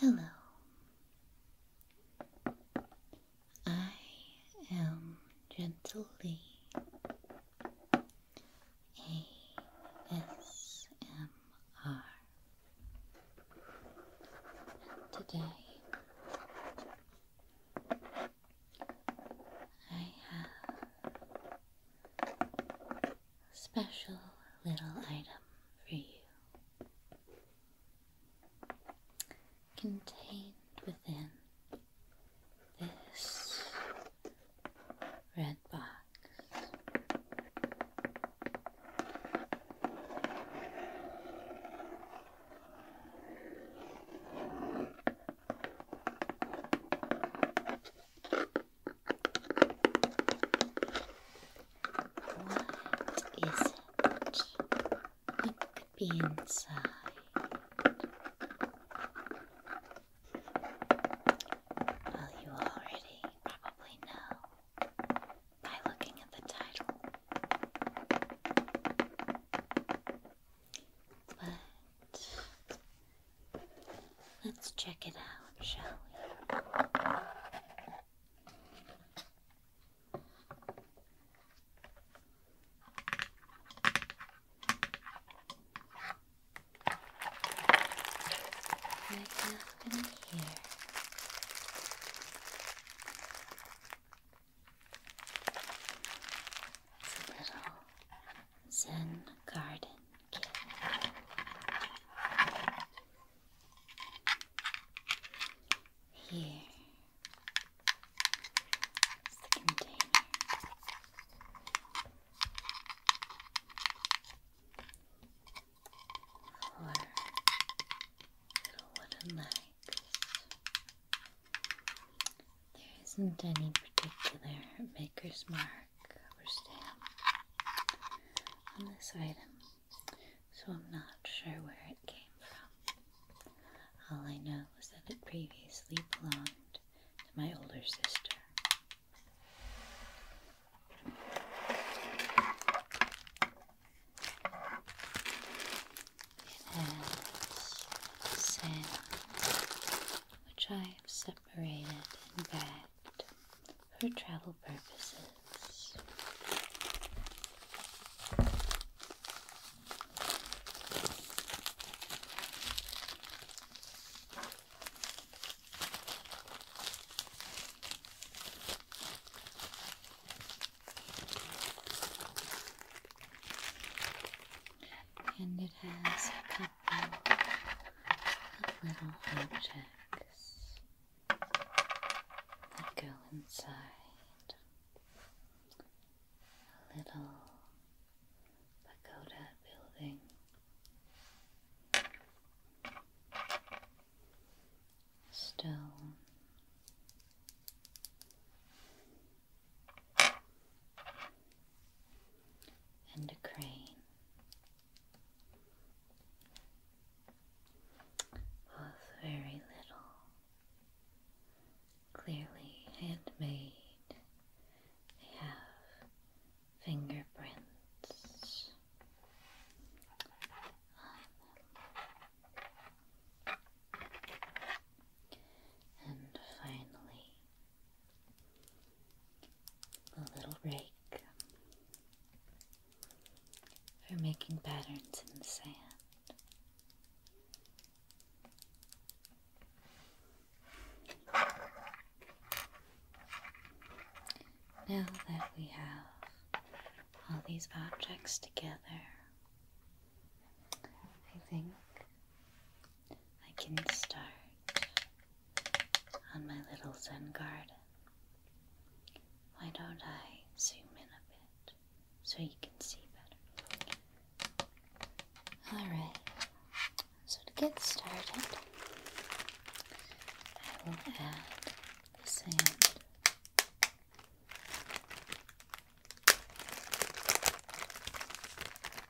Hello. I am Gentle Lee. ASMR. today I have a special little item for you contained within this red box. What is it? What could be inside? Well, you already probably know by looking at the title. But let's check it out, shall we? Right now, here. It's a little Zen Garden Here is the container. Four little wooden legs. There isn't any particular maker's mark or stamp on this item, so I'm not sure where it came from. All I know is that it previously belonged to my older sister which I have separated and bagged for travel purposes and it has a couple of little objects that go inside. A little pagoda building. Stone and a crane. Both very little, clearly handmade. They have fingerprints And finally, a little rake for making patterns in the sand. Now that we have all these objects together, I think I can start on my little Zen garden. Why don't I zoom in a bit so you can see better? Alright, so to get started, I will add the sand.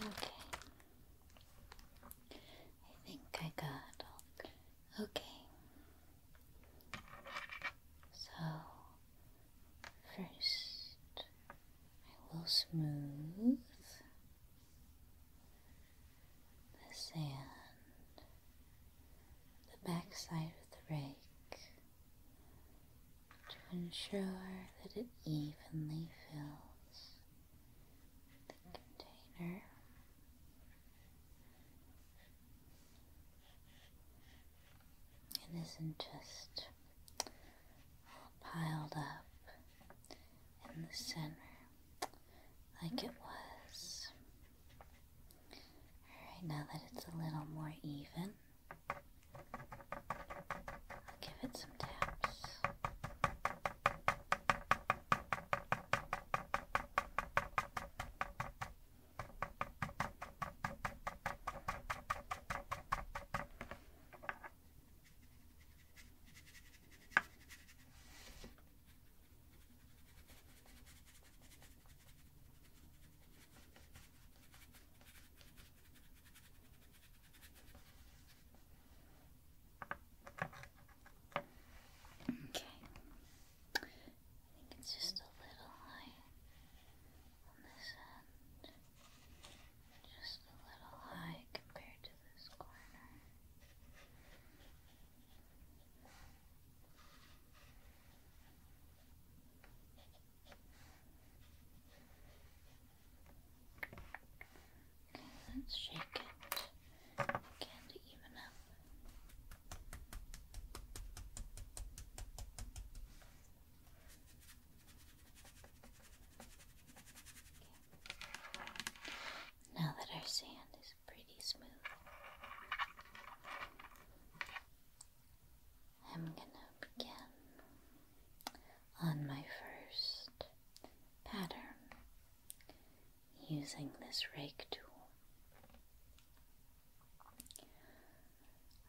Okay. I think I got Okay. So First, I will smooth the sand, the backside of the rake, to ensure that it evenly fills the container. It isn't just piled up in the center like it was. Alright, now that it's a little more even, I'll give it some taps. Okay. I think it's just a little high on this end. Just a little high compared to this corner. Okay, let's shake it again even up. Now that our sand is pretty smooth, I'm gonna begin on my first pattern using this rake tool.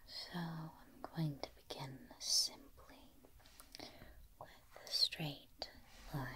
So I'm going to begin simply with the straight lines.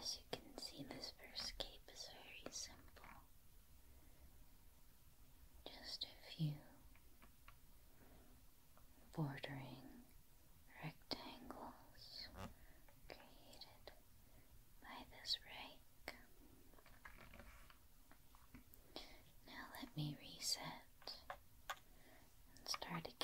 As you can see, this first cape is very simple. Just a few bordering rectangles created by this rake. Now let me reset and start again.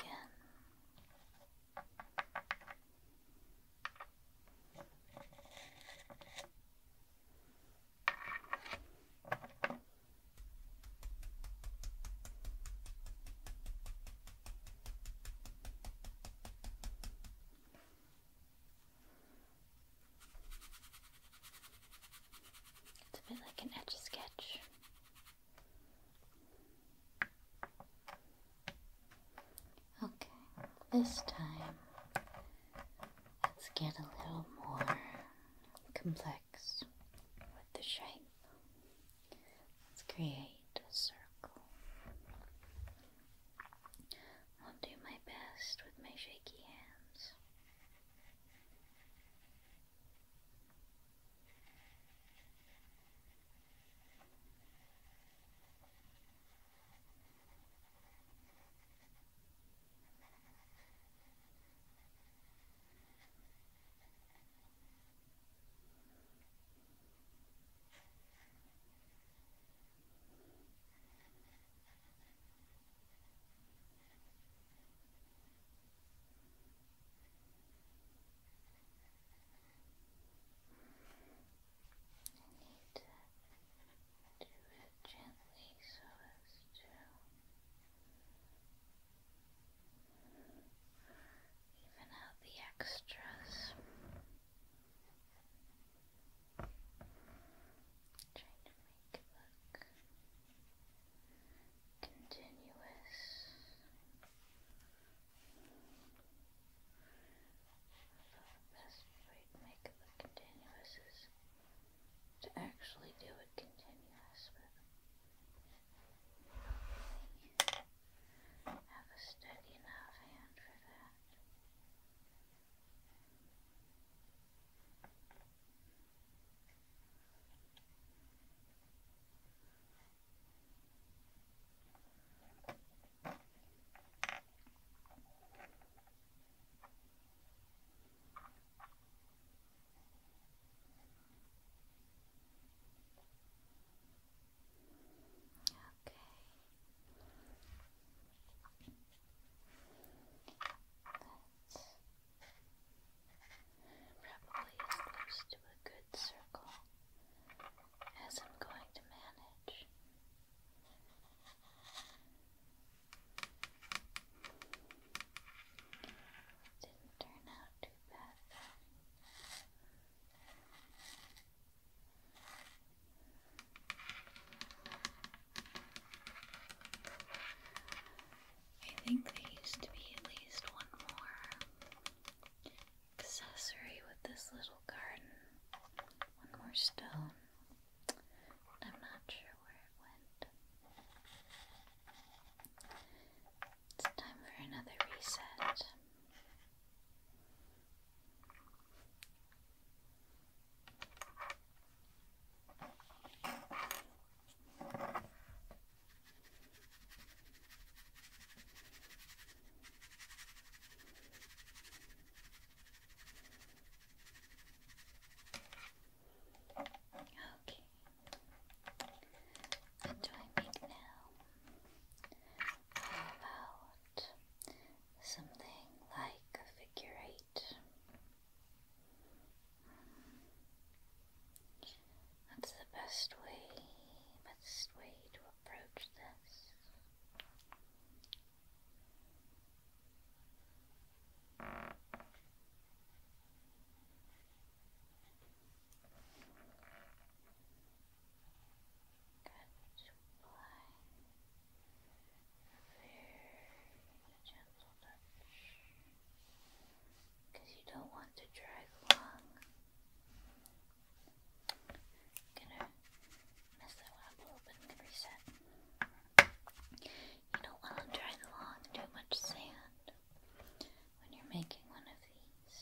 It's a bit like an etch sketch. Okay, this time let's get a little more complex with the shape. Let's create a circle. I'll do my best with my shaky hands need to do it gently so as to even out the extras. Trying to make it look continuous. Although the best way to make it look continuous is to actually do it continuous, have a steady enough hand for that probably as close to a good circle as I'm going to manage. Didn't turn out too bad I think there used to be at least one more accessory with this little garden. One more stone. I'm not sure where it went. It's time for another reset. Okay. What do now? How about something like a figure eight. That's the best way, best way to approach this. Apply because you don't want to drag long. gonna mess that up a little bit and reset. You don't want to drag along too much sand when you're making one of these.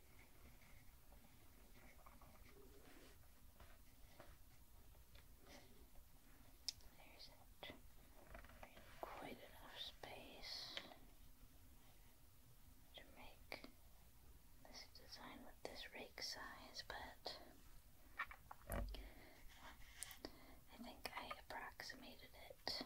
There's it. Quite enough space to make this design with this rake size, but I think I approximated it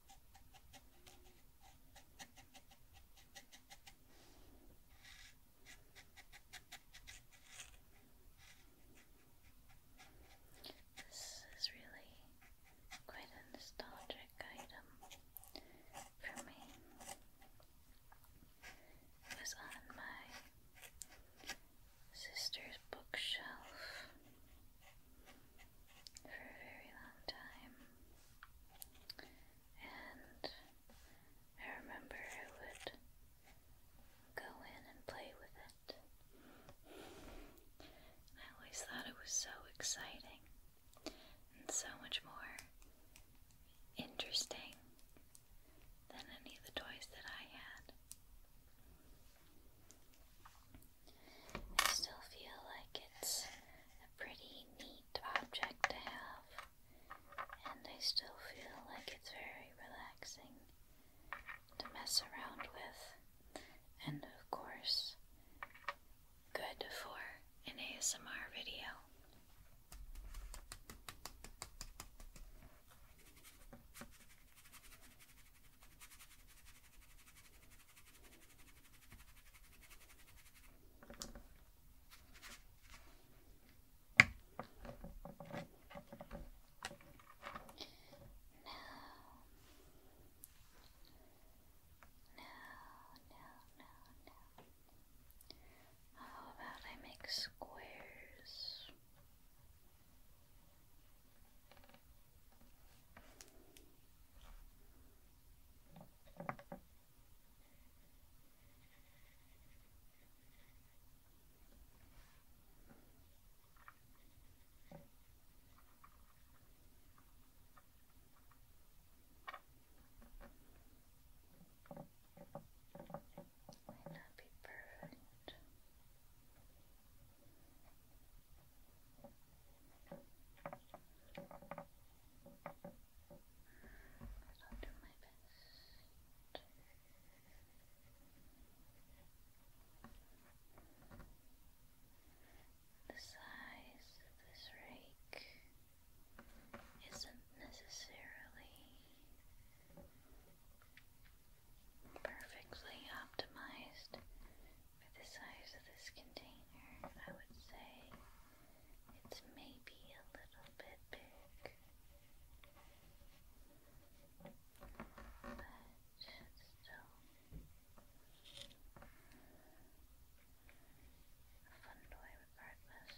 This is really quite a nostalgic item for me. It was on my sister's bookshelf for a very long time. And I remember I would go in and play with it. I always thought it was so exciting and so much more interesting than any of the toys that I had. I still feel like it's a pretty neat object to have, and I still feel like it's very relaxing to mess around with, and of course, good for an ASMR video no. How about I make squares? Might not be perfect. I'll do my best. The size of this rake isn't necessarily perfectly optimized for the size of this container, I would say it's maybe a little bit big. But still a fun toy regardless.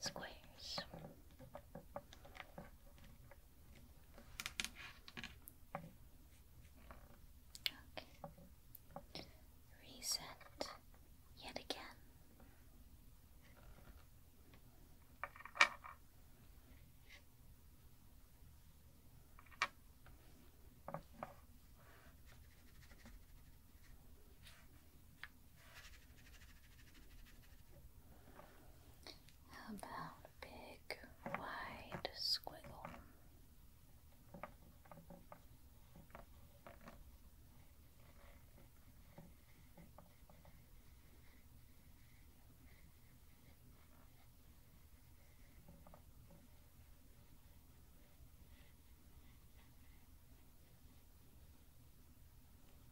squares. Okay. Reset yet again. How about big wide squiggle?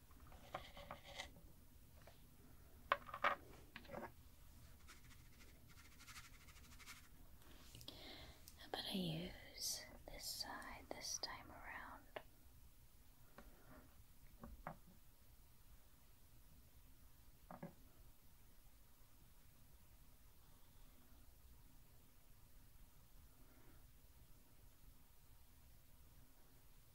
How about I use this side this time around?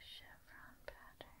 Chevron pattern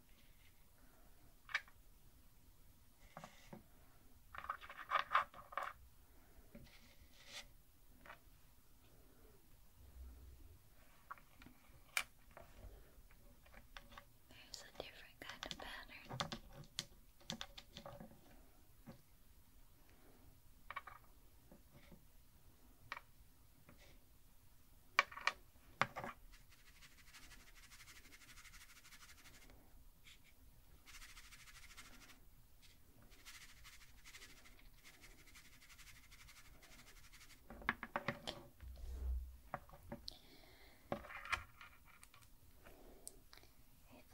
There's a different kind of pattern. I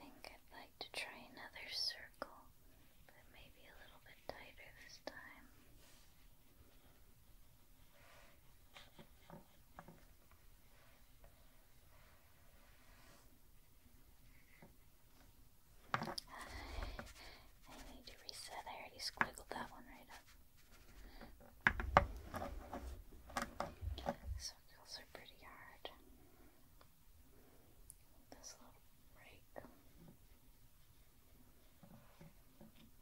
think I'd like to try another circle, but maybe a little bit tighter this time. I need to reset. I already squiggled that one right up. Circles are pretty hard. This little break. Kind of need to use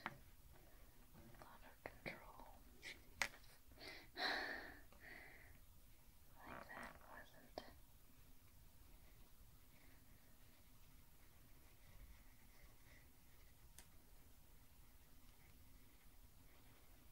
a control. like that wasn't.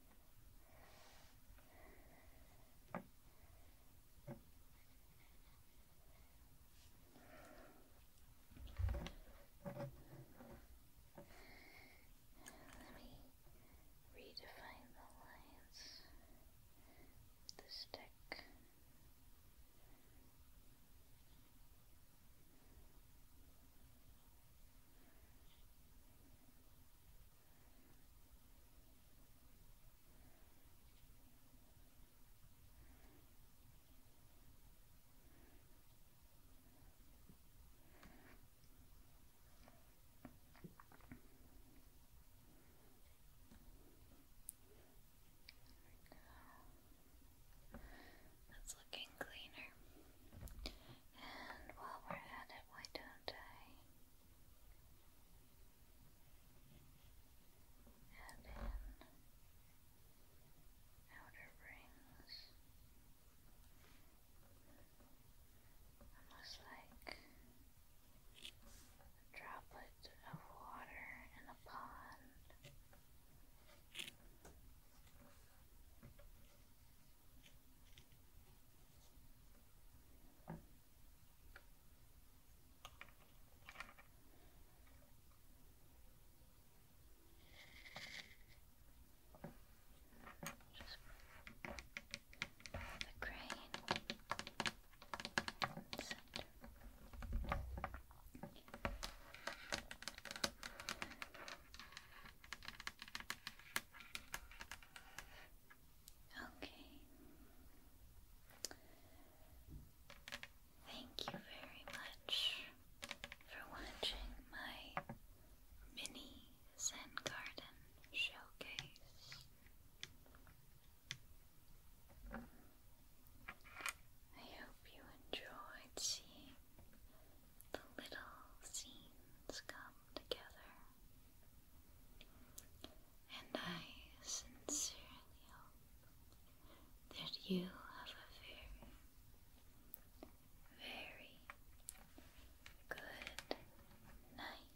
Let me redefine the lines the stick. There we looking cleaner. And while we're at it, why don't I and in outer rings, almost like a of water in a pond. Just the crane in the center. Just Okay. Thank you very much for watching my mini Zen Garden showcase. I hope you enjoyed seeing the little scenes come together. And I sincerely hope that you have a very, very good night.